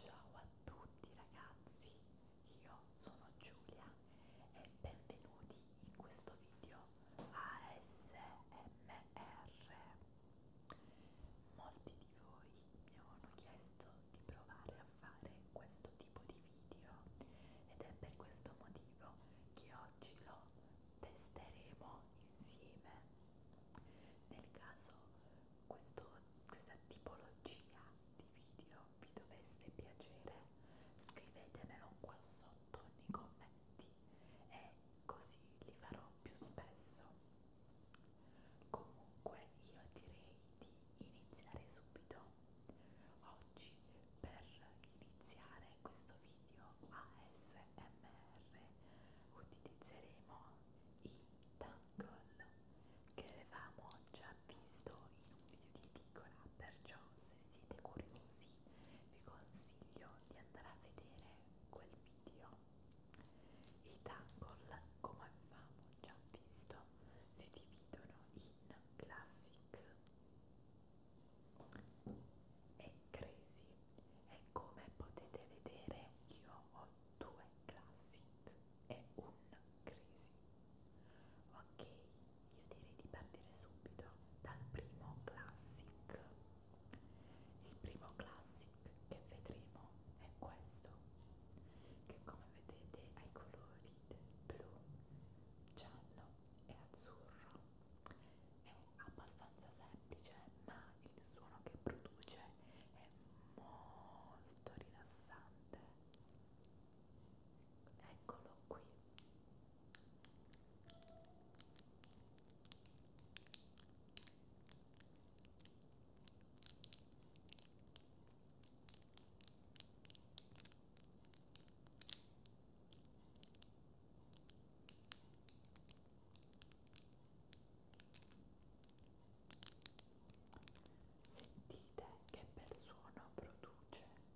Ciao a tutti ragazzi, io sono Giulia e benvenuti in questo video ASMR. Molti di voi mi avevano chiesto di provare a fare questo tipo di video ed è per questo motivo che oggi lo testeremo insieme nel caso questo, questa tipologia di video vi dovesse piacere, scrivetemelo qua sotto nei commenti e così li farò più spesso. Comunque io direi di iniziare subito. Oggi per iniziare questo video ASMR utilizzeremo i tangle che avevamo già visto in un video di Ticola, perciò se siete curiosi vi consiglio di andare a vedere quel video. I tangle, come avevamo già visto, si dividono in classic e crazy e come potete vedere io ho due classic e un crisi ok io direi di partire subito dal primo classic il primo classic che vedremo è questo che come vedete ha i colori del blu giallo e azzurro è abbastanza semplice ma ma il suono che produce è molto rilassante. Eccolo qui. Sentite che bel suono produce. Ecco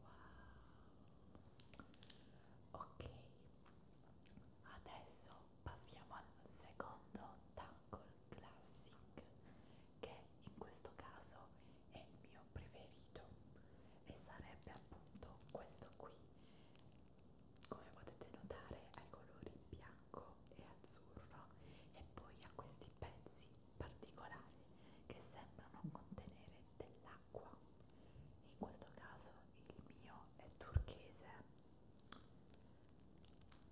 Wow. Ok, adesso passiamo al secondo tackle classic che in questo caso è il mio preferito e sarebbe appunto questo qui. Come potete notare, ai colori bianco bianco e azzurro e poi ha questi pezzi particolari che sembrano contenere dell'acqua. In questo caso il mio è turchese.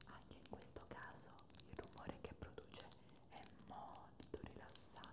Anche in questo caso il rumore che produce è molto rilassante.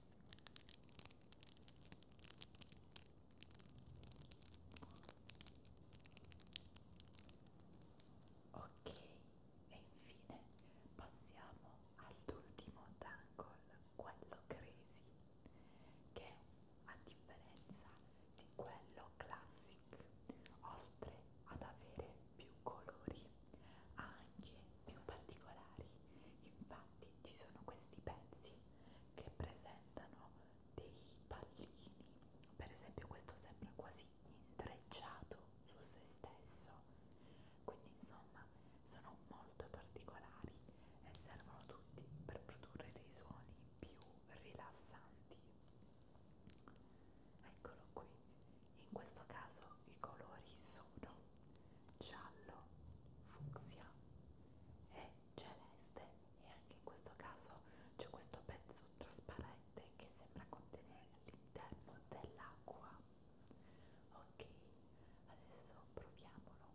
Ok, e infine passiamo all'ultimo tangle, quello crazy, che a differenza di quello classic, oltre ad avere più colori, ha anche più particolari. Infatti ci sono questi pezzi che presentano dei pallini, per esempio questo sembra quasi intrecciato su se stesso, quindi insomma sono molto particolari e servono tutti per produrre dei suoni più rilassanti. Eccolo qui, in questo caso i colori sono giallo, fucsia e celeste e anche in questo caso c'è questo pezzo trasparente che sembra contenere all'interno dell'acqua ok adesso proviamolo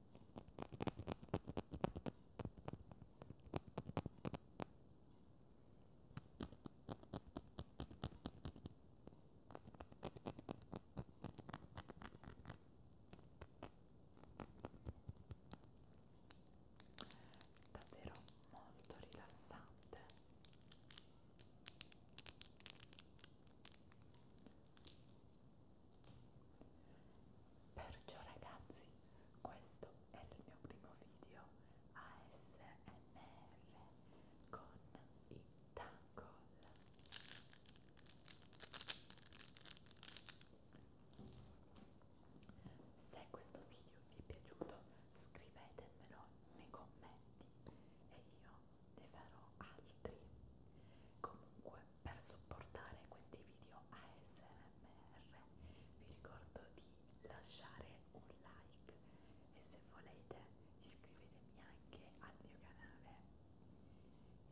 davvero molto rilassante Perciò ragazzi, questo è il mio primo video ASMR con i Tangle. Se questo video vi è piaciuto scrivetemelo nei commenti e io ne farò altri. Comunque per supportare questi video ASMR vi ricordo di lasciare un like e se volete iscrivetemi anche al mio canale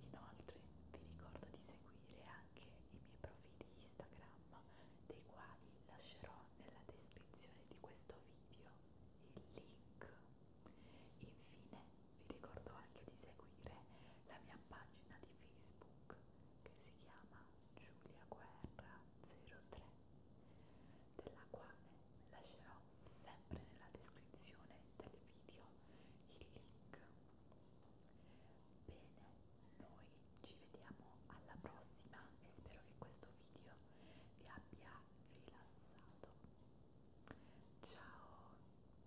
inoltre vi ricordo di seguire anche i miei profili Instagram dei quali lascerò nella descrizione di questo video il link infine vi ricordo anche di seguire la mia pagina di Facebook che si chiama Giulia Guerra 03, della quale lascerò sempre nella descrizione del video il link. Bene, noi ci vediamo alla prossima e spero che questo video vi abbia rilassato. Ciao!